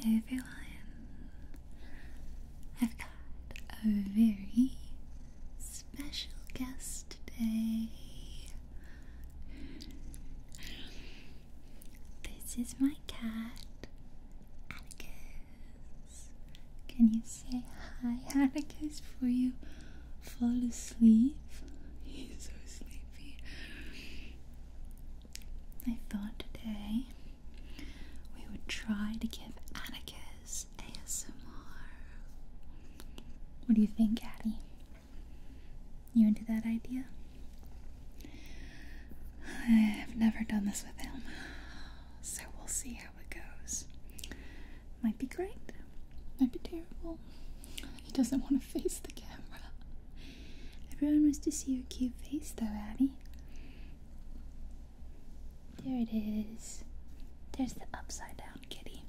Everyone, I've got a very special guest today. This is my cat, Atticus. Can you say hi? How did before you fall asleep? He's so sleepy. I thought today we would try to give Atticus ASMR. What do you think, Addie? You into that idea? I've never done this with him, so we'll see how it goes. Might be great, might be terrible. He doesn't want to face the camera. Everyone wants to see your cute face, though, Abby. There it is. There's the upside down kitty.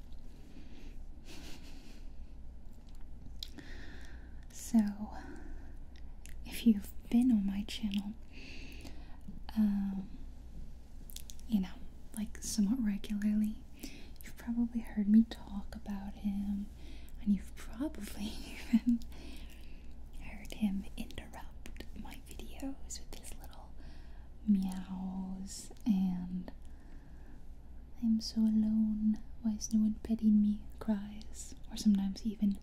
So, if you've been on my channel, um, you know, like somewhat regularly. You've probably heard me talk about him, and you've probably even heard him interrupt my videos with his little meows. And I'm so alone, why is no one petting me? cries, or sometimes even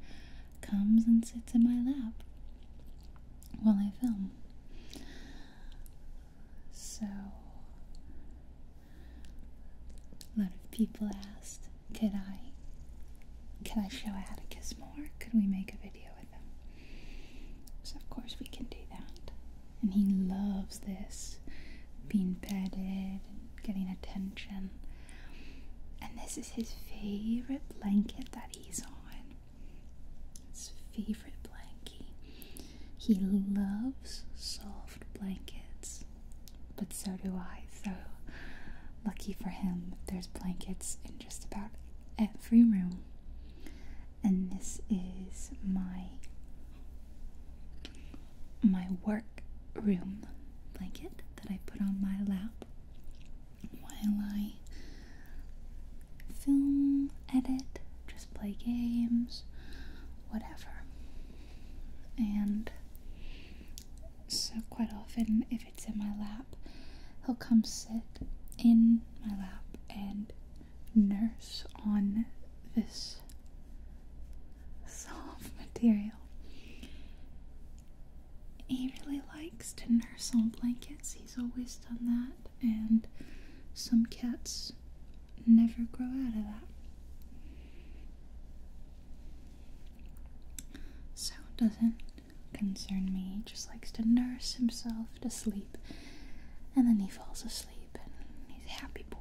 comes and sits in my lap while I film. So, a lot of people asked, "Can I, Can I show how to kiss more? Could we make a video with him? So of course we can do that. And he loves this, being petted and getting attention. And this is his favorite blanket that he's on. His favorite blankie. He loves soft blankets, but so do I. So lucky for him, there's blankets in just about every room. And this is my my work room blanket that I put on my lap while I film, edit, just play games, whatever. And so, quite often, if it's in my lap, he'll come sit in my lap and nurse on this soft material. He really likes to nurse on blankets. He he's always done that, and some cats never grow out of that. So it doesn't concern me. He just likes to nurse himself to sleep, and then he falls asleep, and he's a happy boy.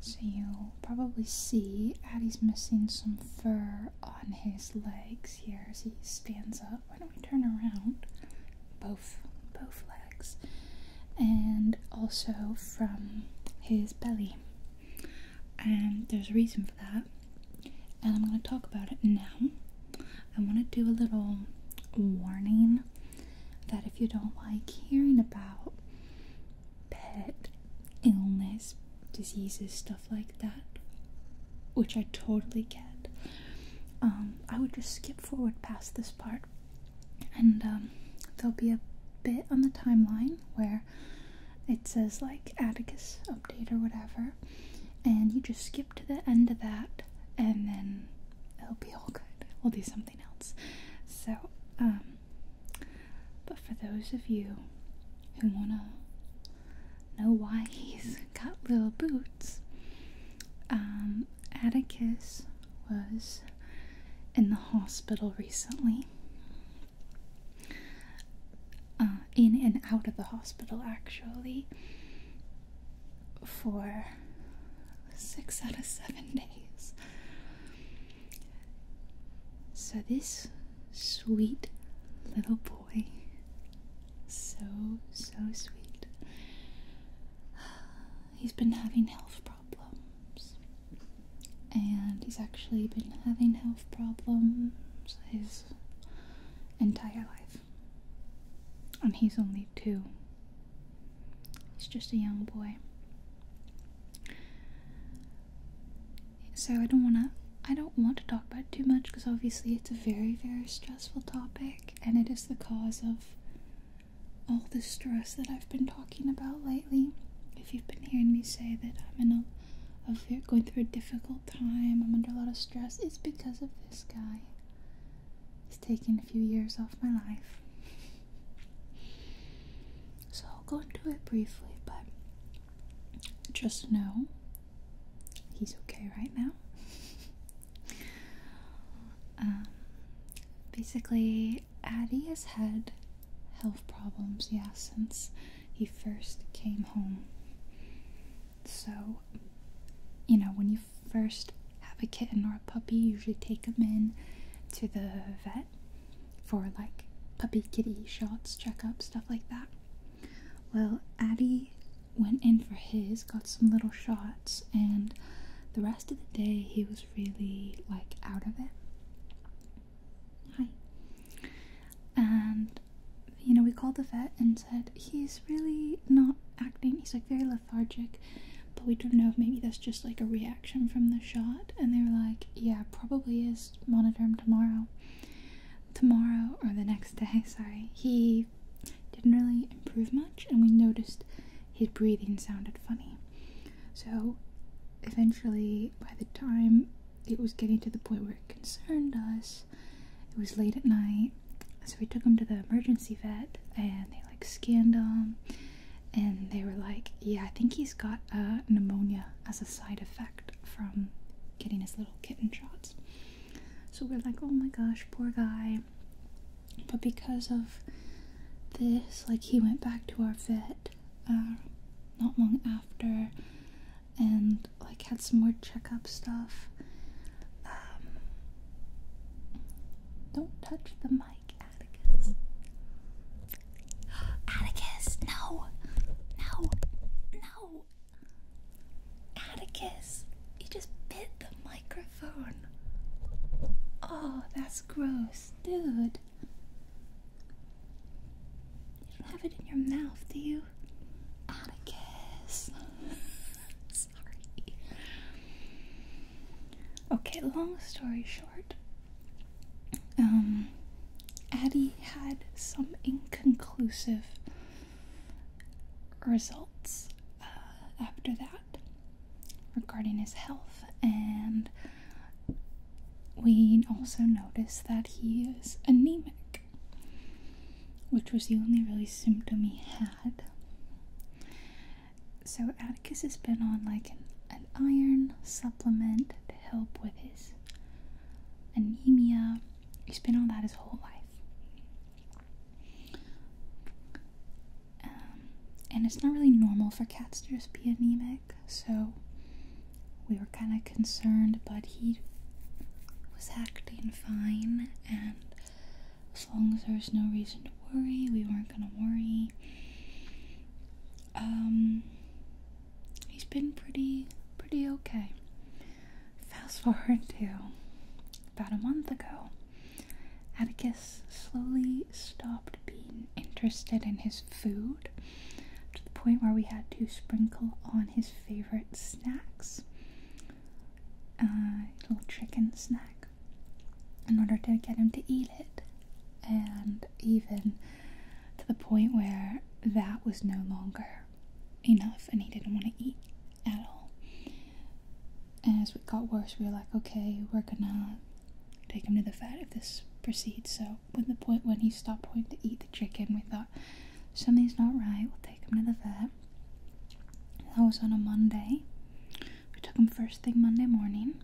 So you'll probably see Addie's missing some fur on his legs here as he stands up why don't we turn around both both legs and also from his belly. And there's a reason for that. And I'm going to talk about it now. I want to do a little warning that if you don't like hearing about pet illness, diseases, stuff like that, which I totally get. Um, I would just skip forward past this part, and um, there'll be a bit on the timeline where it says like Atticus update or whatever, and you just skip to the end of that, and then it'll be all good. We'll do something else. So, um, but for those of you who want to know why he's got little boots. Um, Atticus was in the hospital recently. Uh, in and out of the hospital, actually, for six out of seven days. So, this sweet little boy so, so sweet. He's been having health problems. And he's actually been having health problems his entire life. And he's only two. He's just a young boy. So I don't want to I don't want to talk about it too much because obviously it's a very, very stressful topic and it is the cause of all the stress that I've been talking about lately. If you've been hearing me say that I'm in a, a going through a difficult time, I'm under a lot of stress, it's because of this guy. He's taken a few years off my life. So I'll go into it briefly, but just know he's okay right now. Um, basically, Addie has had health problems, yeah, since he first came home. So, you know, when you first have a kitten or a puppy, you usually take them in to the vet for like puppy kitty shots, checkup, stuff like that. Well, Addie went in for his, got some little shots, and the rest of the day he was really like out of it. Hi. And you know, we called the vet and said he's really not acting. He's like very lethargic, but we don't know if maybe that's just like a reaction from the shot. And they were like, yeah, probably is. Monitor him tomorrow tomorrow or the next day, sorry, he didn't really improve much, and we noticed his breathing sounded funny. So, eventually, by the time it was getting to the point where it concerned us, it was late at night, so we took him to the emergency vet and they like scanned him and they were like, Yeah, I think he's got a uh, pneumonia as a side effect from getting his little kitten shots. So we're like, oh my gosh, poor guy. But because of this, like, he went back to our vet uh, not long after and, like, had some more checkup stuff. Um, don't touch the mic, Atticus. Atticus, no! No! No! Atticus, you just bit the microphone. Oh, that's gross, dude. You don't have it in your mouth, do you? Atticus. Sorry. Okay, long story short. Um Addie had some inconclusive results uh, after that regarding his health and we also noticed that he is anemic which was the only really symptom he had so atticus has been on like an iron supplement to help with his anemia He's been on that his whole life. Um, and it's not really normal for cats to just be anemic, so we were kind of concerned, but he was acting fine, and as long as there was no reason to worry, we weren't gonna worry. Um, he's been pretty, pretty okay. Fast forward to about a month ago, Atticus slowly stopped being interested in his food to the point where we had to sprinkle on his favorite snacks, uh, little chicken snack, in order to get him to eat it. And even to the point where that was no longer enough and he didn't want to eat at all. And as it got worse, we were like, okay, we're gonna take him to the vet if this proceeds. So, when the point when he stopped wanting to eat the chicken, we thought something's not right. We'll take him to the vet. That was on a Monday. We took him first thing Monday morning.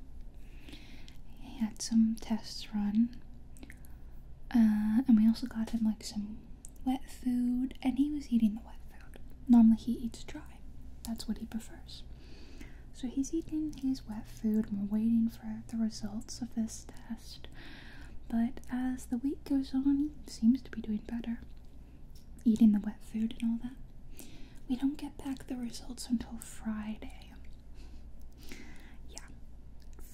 He had some tests run, uh, and we also got him like some wet food, and he was eating the wet food. Normally, he eats dry, that's what he prefers. So, he's eating his wet food, and we're waiting for the results of this test. But as the week goes on, he seems to be doing better, eating the wet food and all that. We don't get back the results until Friday. Yeah,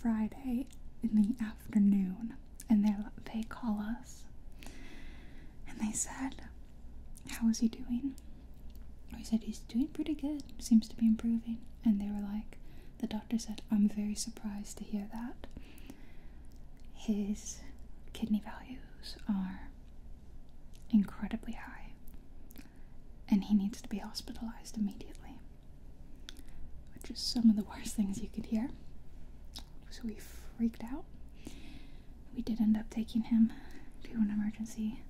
Friday in the afternoon and they they call us and they said, "How is he doing?" We said he's doing pretty good. Seems to be improving. And they were like, the doctor said, "I'm very surprised to hear that. His kidney values are incredibly high, and he needs to be hospitalized immediately." Which is some of the worst things you could hear so we freaked out. We did end up taking him to an emergency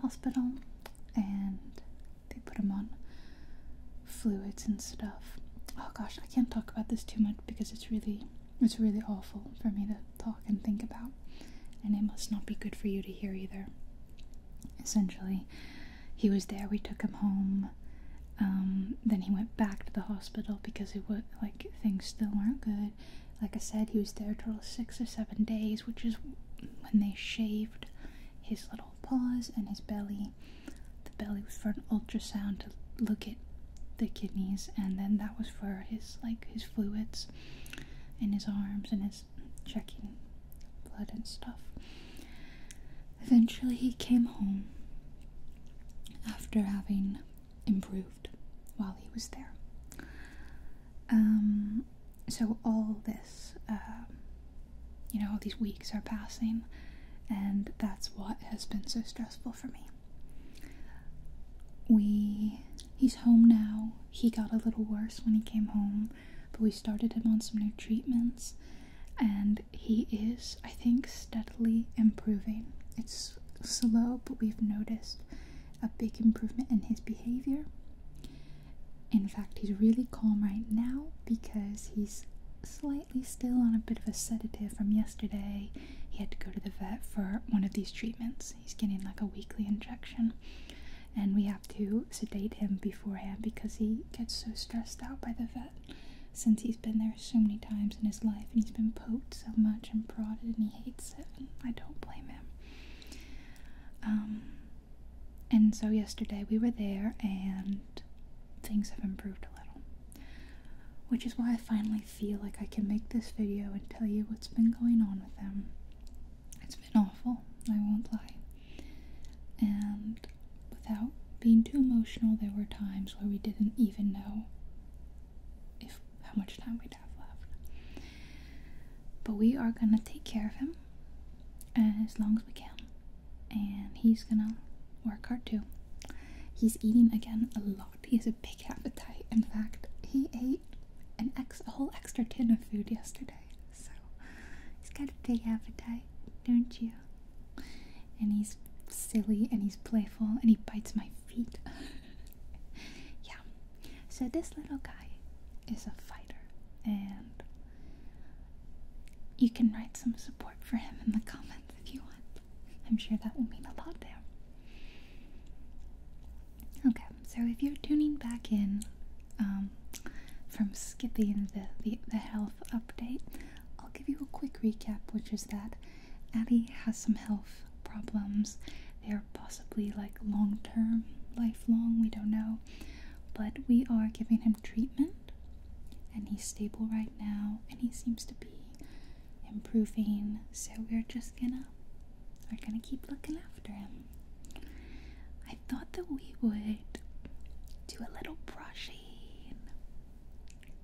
hospital and they put him on fluids and stuff. Oh gosh, I can't talk about this too much because it's really it's really awful for me to talk and think about. And it must not be good for you to hear either. Essentially, he was there. We took him home. Um, then he went back to the hospital because it was like things still weren't good. Like I said, he was there till six or seven days, which is when they shaved his little paws and his belly. The belly was for an ultrasound to look at the kidneys, and then that was for his like his fluids and his arms and his checking blood and stuff. Eventually, he came home after having improved while he was there. Um, so, all this, um, you know, all these weeks are passing, and that's what has been so stressful for me. We, he's home now. He got a little worse when he came home, but we started him on some new treatments and he is, I think, steadily improving. It's slow, but we've noticed a big improvement in his behavior. In fact, he's really calm right now because he's slightly still on a bit of a sedative from yesterday. He had to go to the vet for one of these treatments. He's getting like a weekly injection. And we have to sedate him beforehand because he gets so stressed out by the vet since he's been there so many times in his life and he's been poked so much and prodded and he hates it. And I don't blame him. Um, and so yesterday we were there and things have improved a little. Which is why I finally feel like I can make this video and tell you what's been going on with them. It's been awful, I won't lie. And without being too emotional, there were times where we didn't even know if how much time we'd have left. But we are gonna take care of him as long as we can, and he's gonna work hard too. He's eating again a lot. He has a big appetite. In fact, he ate an ex a whole extra tin of food yesterday. So he's got a big appetite, don't you? and he's silly and he's playful and he bites my feet. yeah. So this little guy is a fighter and you can write some support for him in the comments if you want. I'm sure that will mean a lot there. Okay, so if you're tuning back in um, from skipping the, the health update, I'll give you a quick recap, which is that Addie has some health problems. They are possibly like long term, lifelong, we don't know. But we are giving him treatment, and he's stable right now, and he seems to be improving. So we're just gonna we're gonna keep looking after him. I thought that we would do a little brushing.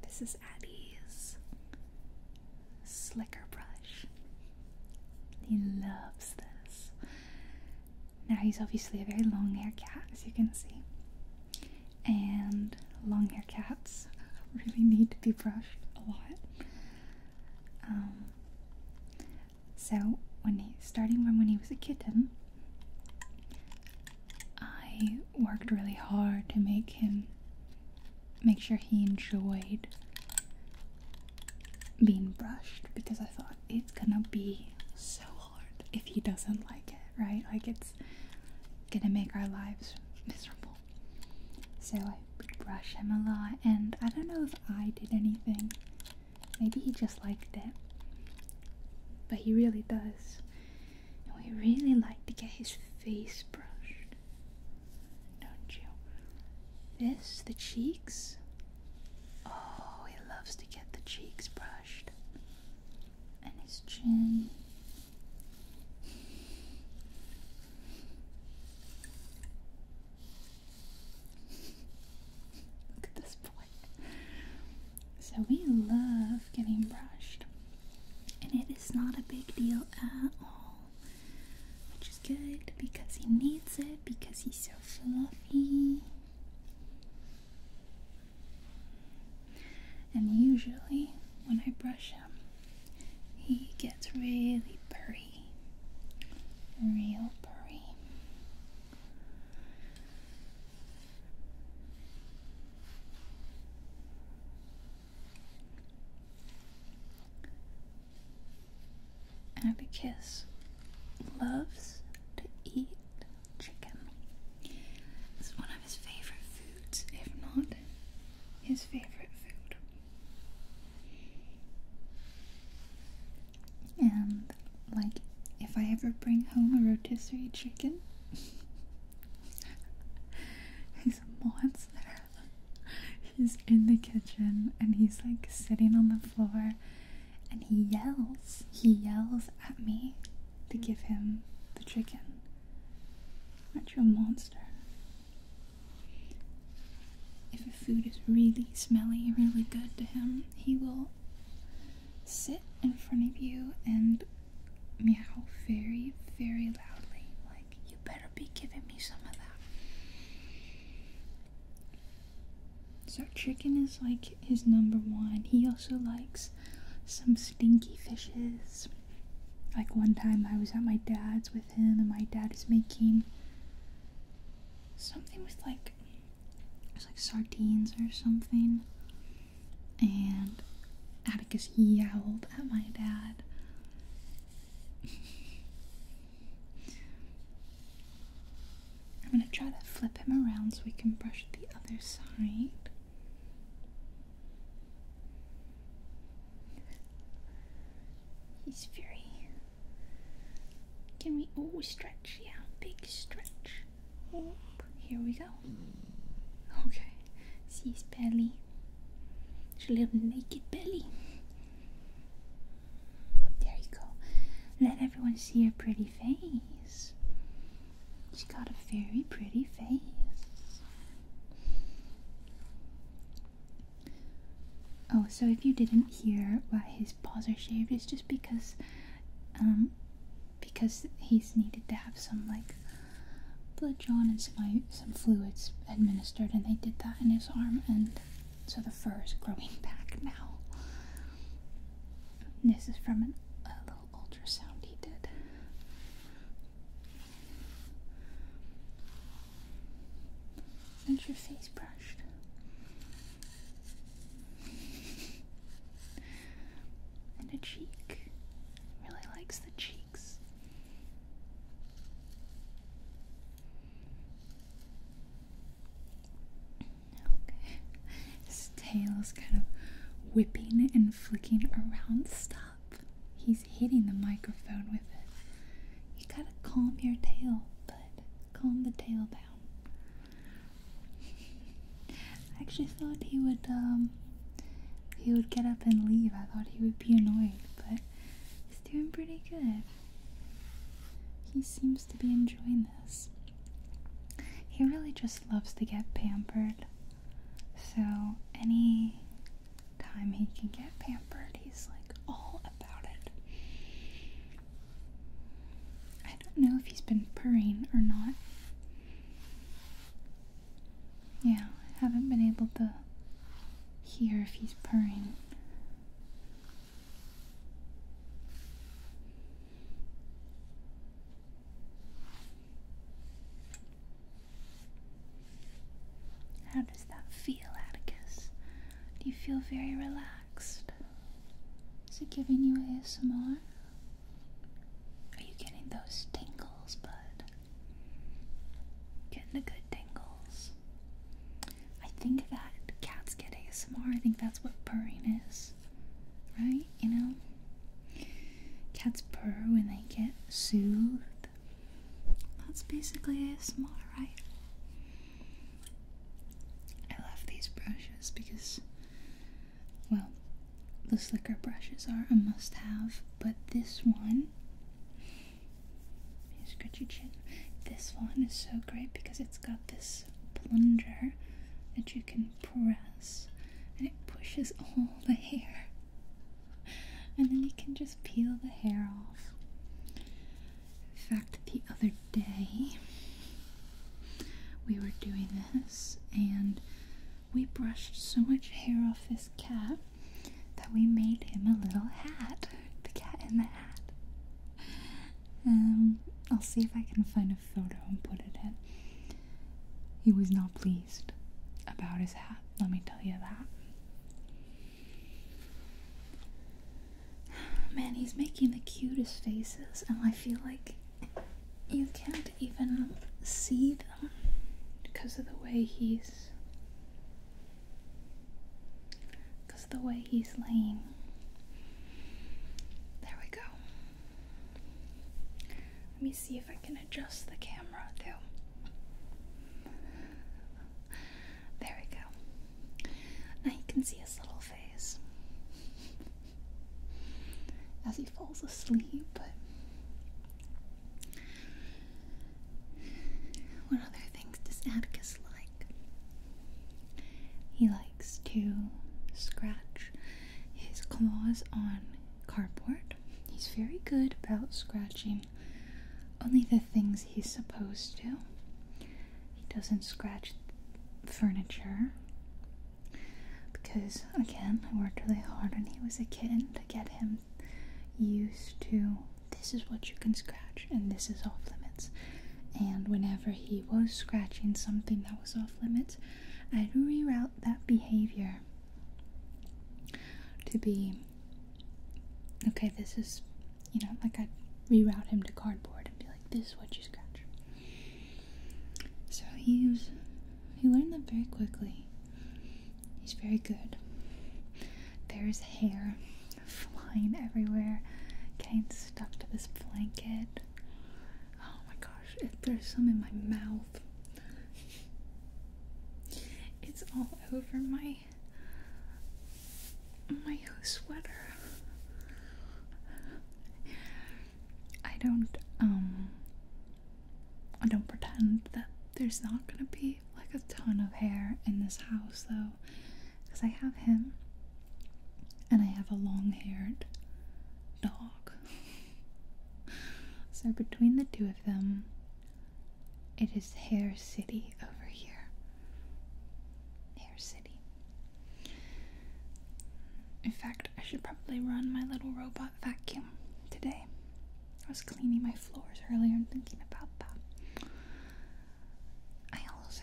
This is Addie's slicker brush. He loves this. Now, he's obviously a very long haired cat, as you can see. And long haired cats really need to be brushed a lot. Um, so, when he, starting from when he was a kitten, I worked really hard to make him make sure he enjoyed being brushed because I thought it's gonna be so hard if he doesn't like it, right? Like it's gonna make our lives miserable. So I would brush him a lot, and I don't know if I did anything. Maybe he just liked it. But he really does we really like to get his face brushed, don't you? This, the cheeks. Oh, he loves to get the cheeks brushed, and his chin. Look at this so we love getting brushed, and it is not a big deal at all, which is good because he needs it because he's so fluffy. And usually, when I brush him, he gets really purry. Real purry. Atticus loves to eat chicken. It's one of his favorite foods, if not his favorite food. And, like, if I ever bring home a rotisserie chicken, he's a monster. He's in the kitchen and he's like sitting on the floor and he yells. He yells at me to give him the chicken. Aren't you a monster? If the food is really smelly, really good to him, he will sit in front of you and meow very, very loudly. Like, you better be giving me some of that. So, chicken is like his number one. He also likes some stinky fishes. Like, one time I was at my dad's with him, and my dad is making something with like. It was like sardines or something and Atticus yowled at my dad. I'm going to try to flip him around so we can brush the other side. He's very. Can we. Oh, stretch. Yeah, big stretch. Here we go. Okay, see his belly. His little naked belly. There you go. Let everyone see her pretty face. She's got a very pretty face. Oh, so if you didn't hear why his paws are shaved, it's just because um, because he's needed to have some like blood drawn and some, uh, some fluids administered, and they did that in his arm, and so the fur is growing back now. This is from an, a little ultrasound he did. And your face brushed? and a cheek. Really likes the cheeks. Okay. His tail's kind of whipping and flicking around. Stop. He's hitting the microphone with it. You gotta calm your tail, bud. Calm the tail down. I actually thought he would um, he would get up and leave. I thought he would be annoyed, but he's doing pretty good. He seems to be enjoying this. He really just loves to get pampered. So any time he can get pampered, he's like all about it. I don't know if he's been purring or not. Yeah, I haven't been able to hear if he's purring. How does that feel, Atticus? Do you feel very relaxed? Is it giving you ASMR? Are you getting those tingles, bud? Getting the good tingles. I think that cats get ASMR. I think that's what purring is. Right? You know? Cats purr when they get soothed. That's basically ASMR, right? I love these brushes because well, the slicker brushes are a must have, but this one. You scratch your chin. This one is so great because it's got this plunger that you can press and it pushes all the hair. And then you can just peel the hair off. In fact, the other day we were doing this and we brushed so much hair off this cat that we made him a little hat. The cat in the hat. Um, I'll see if I can find a photo and put it in. He was not pleased about his hat, let me tell you that. Man, he's making the cutest faces, and I feel like you can't even see them because of the way he's because of the way he's laying. There we go. Let me see if I can adjust the camera There we go. Now you can see his little face as he falls asleep. what other things does Atticus like? He likes to scratch his claws on cardboard. He's very good about scratching only the things he's supposed to. He doesn't scratch furniture because again, I worked really hard when he was a kitten to get him used to this is what you can scratch and this is off limits. And whenever he was scratching something that was off limits, I'd reroute that behavior to be okay, this is, you know, like i reroute him to cardboard and be like, this is what you scratch. So he was, he learned that very quickly. He's very good. There's hair flying everywhere, getting stuck to this blanket. Oh my gosh, there's some in my mouth. It's all over my my sweater. I don't um I don't pretend that there's not gonna be like a ton of hair in this house though because I have him and I have a long haired dog. so between the two of them it is hair city over here. Hair city. In fact, I should probably run my little robot vacuum today. I was cleaning my floors earlier and thinking about that. I also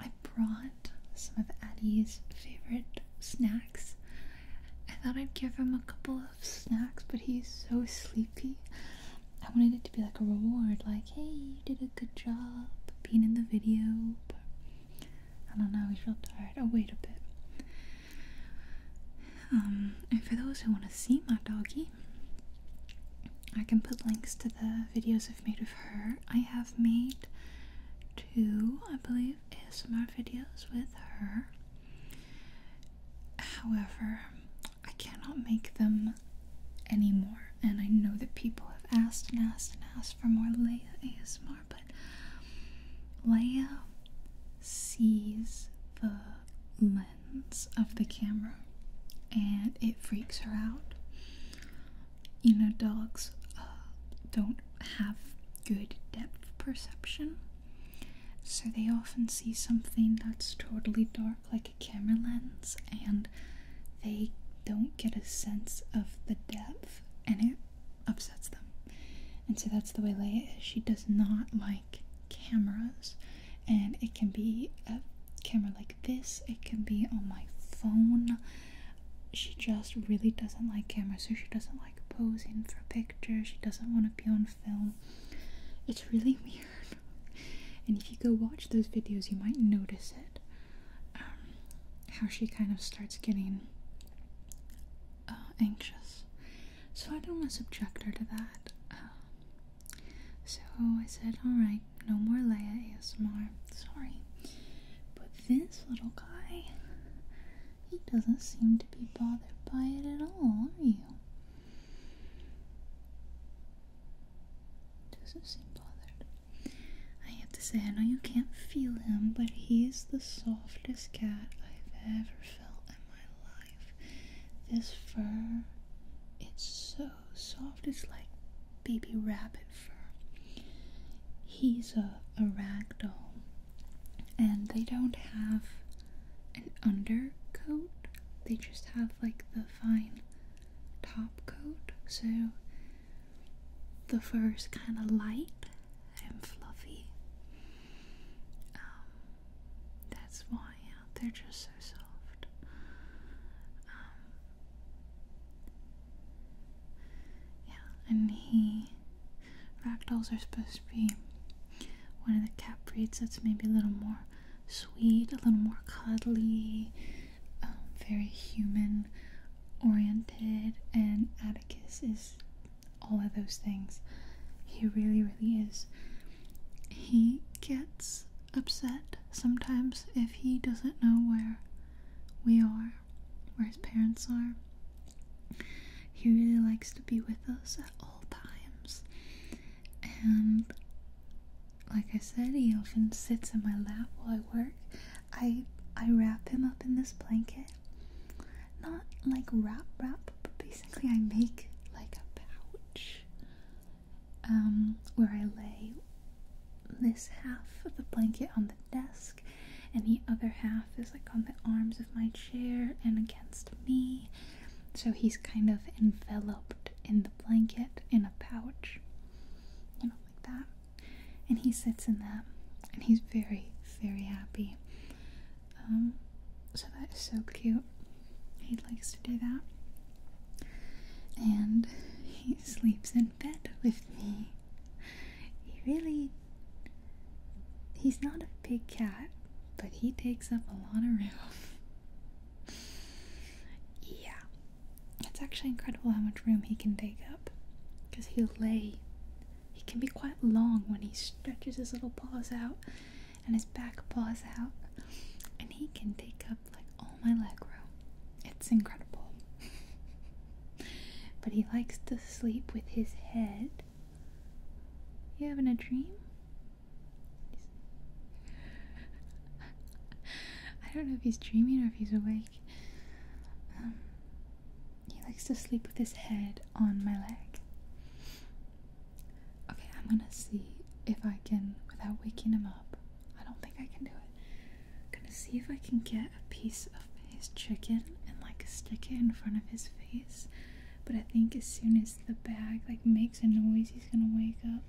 I brought some of Addie's favorite snacks. I thought I'd give him a couple of snacks, but he's so sleepy. I wanted it to be like a reward, like, hey, you did a good job being in the video, I don't know, I feel tired. Oh, wait a bit. Um, and for those who want to see my doggy, I can put links to the videos I've made of her. I have made two, I believe, ASMR videos with her. However, I cannot make them anymore, and I know that people have asked and asked and asked for more Leia ASMR. ASMR, but Leia sees the lens of the camera and it freaks her out. You know, dogs uh, don't have good depth perception, so they often see something that's totally dark, like a camera lens, and they don't get a sense of the depth, and it upsets them. And so that's the way Leia is. She does not like cameras, and it can be a camera like this, it can be on my phone. She just really doesn't like cameras, so she doesn't like posing for pictures, she doesn't want to be on film. It's really weird. And if you go watch those videos, you might notice it. Um, how she kind of starts getting uh, anxious. So I don't want to subject her to that. Uh, so I said, alright, no more Leia ASMR. Sorry. But this little guy, he doesn't seem to be bothered by it at all, are you? Doesn't seem bothered. I have to say, I know you can't feel him, but he's the softest cat I've ever felt in my life. This fur, it's so soft, it's like baby rabbit fur. He's a, a ragdoll, and they don't have an undercoat, they just have like the fine top coat. So the fur is kind of light and fluffy. Um, that's why they're just so soft. Um, yeah, and he. Ragdolls are supposed to be one of the cat breeds that's maybe a little more sweet, a little more cuddly, um, very human oriented, and Atticus is all of those things. He really, really is. He gets upset sometimes if he doesn't know where we are, where his parents are. He really likes to be with us at all times. And like I said, he often sits in my lap while I work. I I wrap him up in this blanket. Not like wrap wrap, but basically I make like a pouch um where I lay this half of the blanket on the desk and the other half is like on the arms of my chair and against me. So he's kind of enveloped in the blanket in a pouch. You know, like that and he sits in that and he's very very happy um, so that is so cute he likes to do that and he sleeps in bed with me he really he's not a big cat but he takes up a lot of room yeah it's actually incredible how much room he can take up because he'll lay he can be quite long when he stretches his little paws out and his back paws out, and he can take up like all my leg room. It's incredible. but he likes to sleep with his head. You having a dream? I don't know if he's dreaming or if he's awake. Um, he likes to sleep with his head on my leg. Okay, I'm gonna see if I can, without waking him up. I don't think I can do it. I'm gonna see if I can get a piece of his chicken and like stick it in front of his face. But I think as soon as the bag like makes a noise, he's gonna wake up.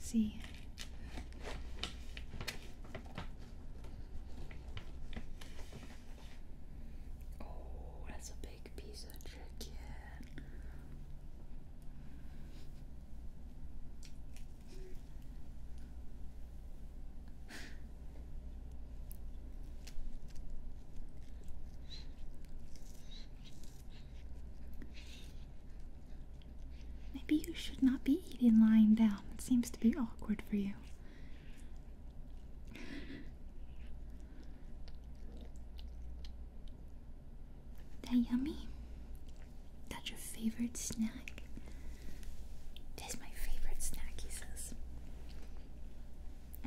See. Oh, that's a big piece of chicken. Maybe you should not be eating lying down. It seems to be awkward for you. That yummy? That's your favorite snack? That's my favorite snack, he says.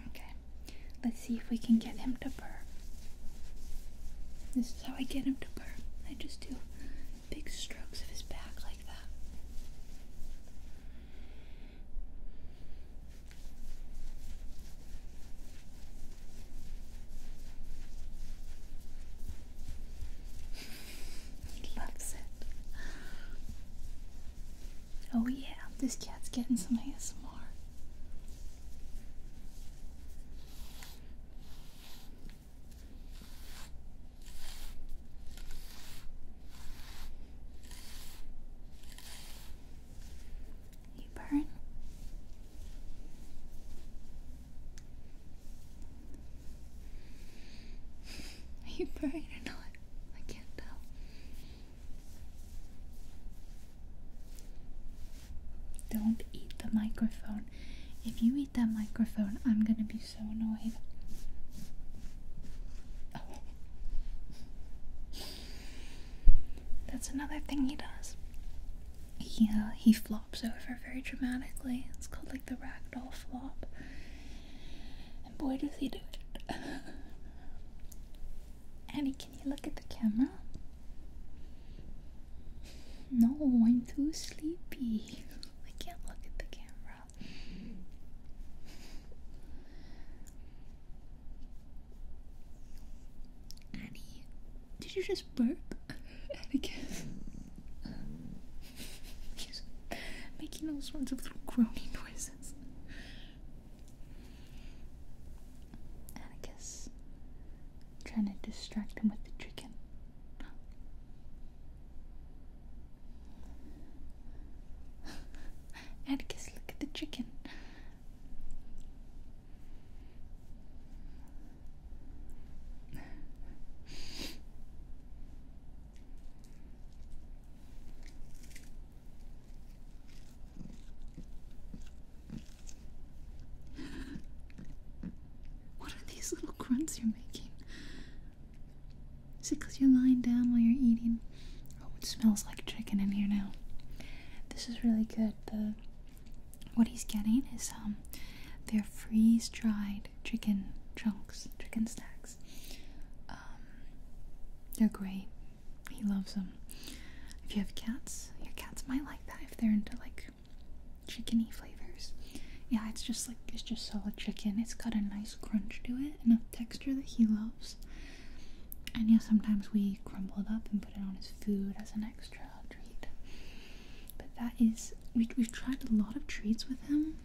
Okay, let's see if we can get him to purr. This is how I get him to purr. I just do big strokes of his back like that. he loves it. Oh, yeah, this cat's getting some ASMR. You burn. Are you burning or not? I can't tell. Don't eat the microphone. If you eat that microphone, I'm gonna be so oh annoyed. Oh. That's another thing he does. Yeah, uh, he flops over very dramatically. It's called like the ragdoll flop. And boy does he do it. Annie, can you look at the camera? No, I'm too sleepy. I can't look at the camera. Annie, did you just burp? Atticus, she's making all sorts of little groaning noises. Atticus, trying to distract him with the chicken. Atticus, look at the chicken. What are these little grunts you're making? Is it because you're lying down while you're eating? Oh, it smells like chicken in here now. This is really good. The what he's getting is um, they're freeze dried chicken chunks, chicken snacks. Um, they're great. He loves them. If you have cats, your cats might like that if they're into like chickeny flavors. Yeah, it's just like it's just solid chicken. It's got a nice crunch to it and a texture that he loves. And yeah, sometimes we crumble it up and put it on his food as an extra treat. But that is, we, have tried a lot of treats with him,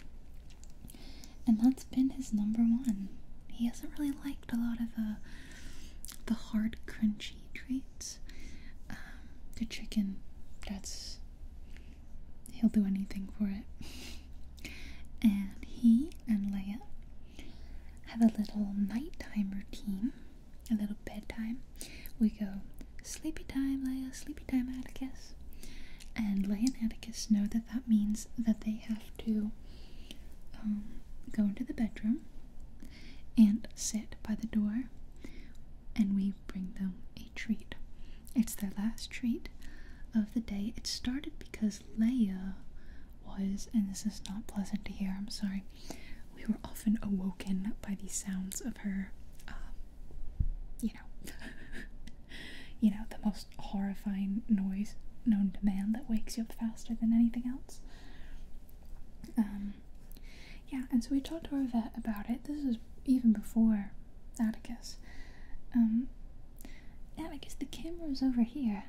and that's been his number one. He hasn't really liked a lot of uh, the hard, crunchy treats. Um, the chicken, that's he'll do anything for it. And he and Leia have a little nighttime routine, a little bedtime. We go, sleepy time, Leia, sleepy time, Atticus. And Leia and Atticus know that that means that they have to um, go into the bedroom and sit by the door, and we bring them a treat. It's their last treat of the day. It started because Leia was, and this is not pleasant to hear, I'm sorry, we were often awoken by the sounds of her, um, you know, you know, the most horrifying noise known to man that wakes you up faster than anything else. Um, yeah, and so we talked to our vet about it. This is even before Atticus. Um, Atticus, the camera's over here.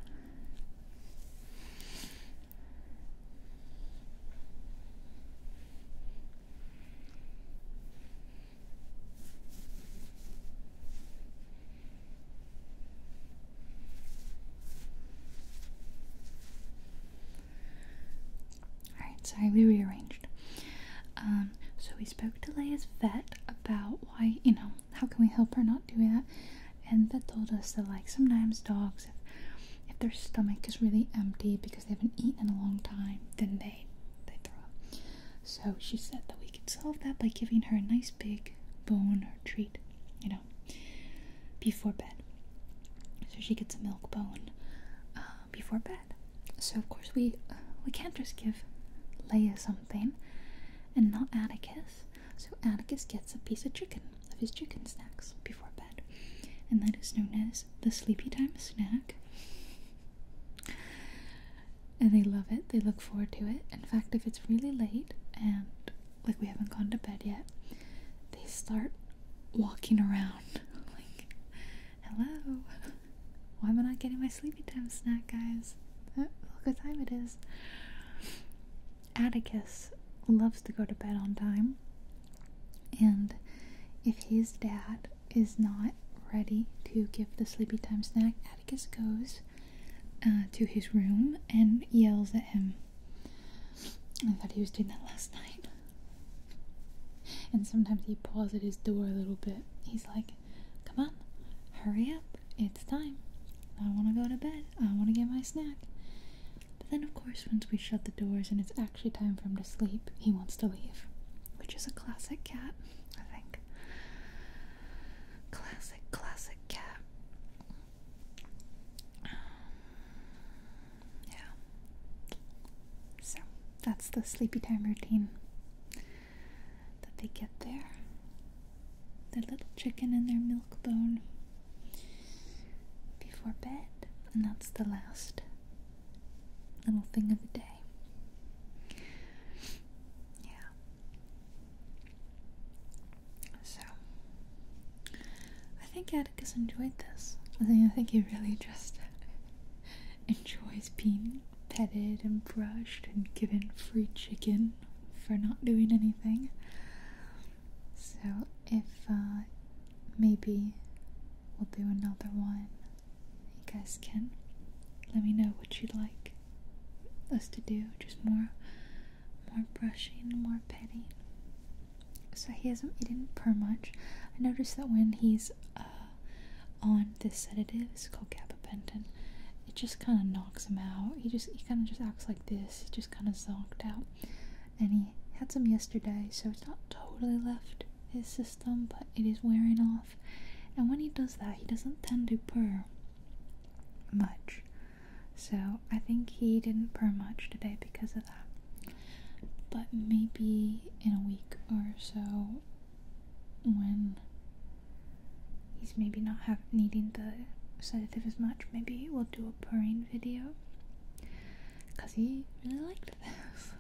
Alright, sorry, we rearranged. Um, so we spoke to Leia's vet about why, you know, how can we help her not do that? And vet told us that like sometimes dogs, if, their stomach is really empty because they haven't eaten in a long time, then they they throw up. So she said that we could solve that by giving her a nice big bone or treat, you know, before bed. So she gets a milk bone. Um, before bed. So of course we uh, we can't just give Leia something and not Atticus. So Atticus gets a piece of chicken of his chicken snacks before bed, and that is known as the sleepy time snack. And they love it. They look forward to it. In fact, if it's really late and like we haven't gone to bed yet, they start walking around like hello Why am I not getting my sleepy time snack, guys? Look what time it is. Atticus loves to go to bed on time, and if his dad is not ready to give the sleepy time snack, Atticus goes uh, to his room and yells at him. I thought he was doing that last night. And sometimes he paws at his door a little bit. He's like, come on, hurry up, it's time. I want to go to bed, I want to get my snack. But then, of course, once we shut the doors and it's actually time for him to sleep, he wants to leave, which is a classic cat, I think. Classic, classic cat. Um, yeah. So that's the sleepy time routine that they get there. Their little chicken and their milk bone before bed, and that's the last little thing of the day. Yeah. So, I think Atticus enjoyed this. I think he really just enjoys being petted and brushed and given free chicken for not doing anything. So, if uh, maybe we'll do another one, you guys can let me know what you'd like us to do. Just more, more brushing, more petting. So he hasn't eaten per much. I noticed that when he's uh, uh, on this sedative. It's called gabapentin. It just kind of knocks him out. He just he kind of just acts like this. He just kind of zonked out, and he had some yesterday, so it's not totally left his system, but it is wearing off. And when he does that, he doesn't tend to purr much. So I think he didn't purr much today because of that. But maybe in a week or so, when he's maybe not needing the sedative as much, maybe we'll do a purring video because he really liked this.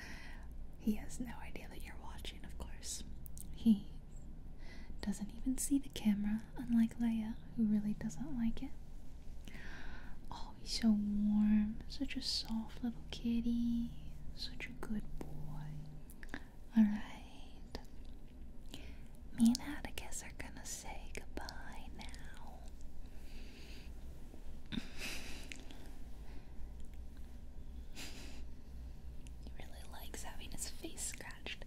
he has no idea that you're watching, of course. He doesn't even see the camera, unlike Leia, who really doesn't like it. Oh, he's so warm, such a soul little kitty. Such a good boy. Alright. Me and Atticus are gonna say goodbye now. he really likes having his face scratched,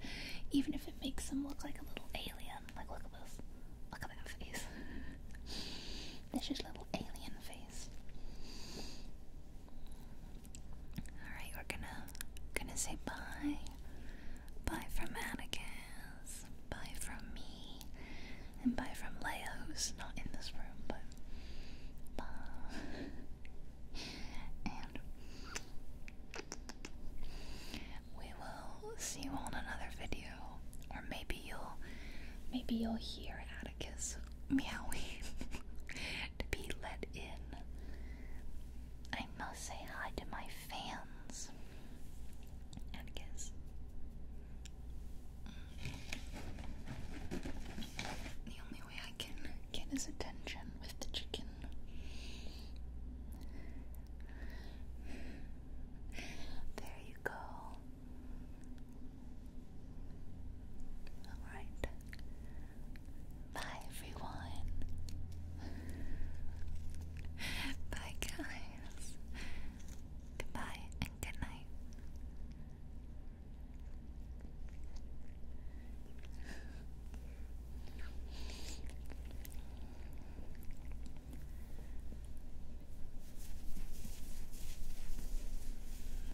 even if it makes him look like a little alien. Like, look at this. Look at that face. This vicious little alien face. Alright, we're gonna gonna say bye. Bye from Atticus. Bye from me. And bye from Leia, who's not in this room, but bye. and we will see you all in another video. Or maybe maybe you'll maybe you'll hear Atticus meowing be let in. I must say hi to my fans. Atticus. The only way I can get his attention with the chicken. There you go. Alright. Bye, everyone. Bye, guys. Goodbye and good night.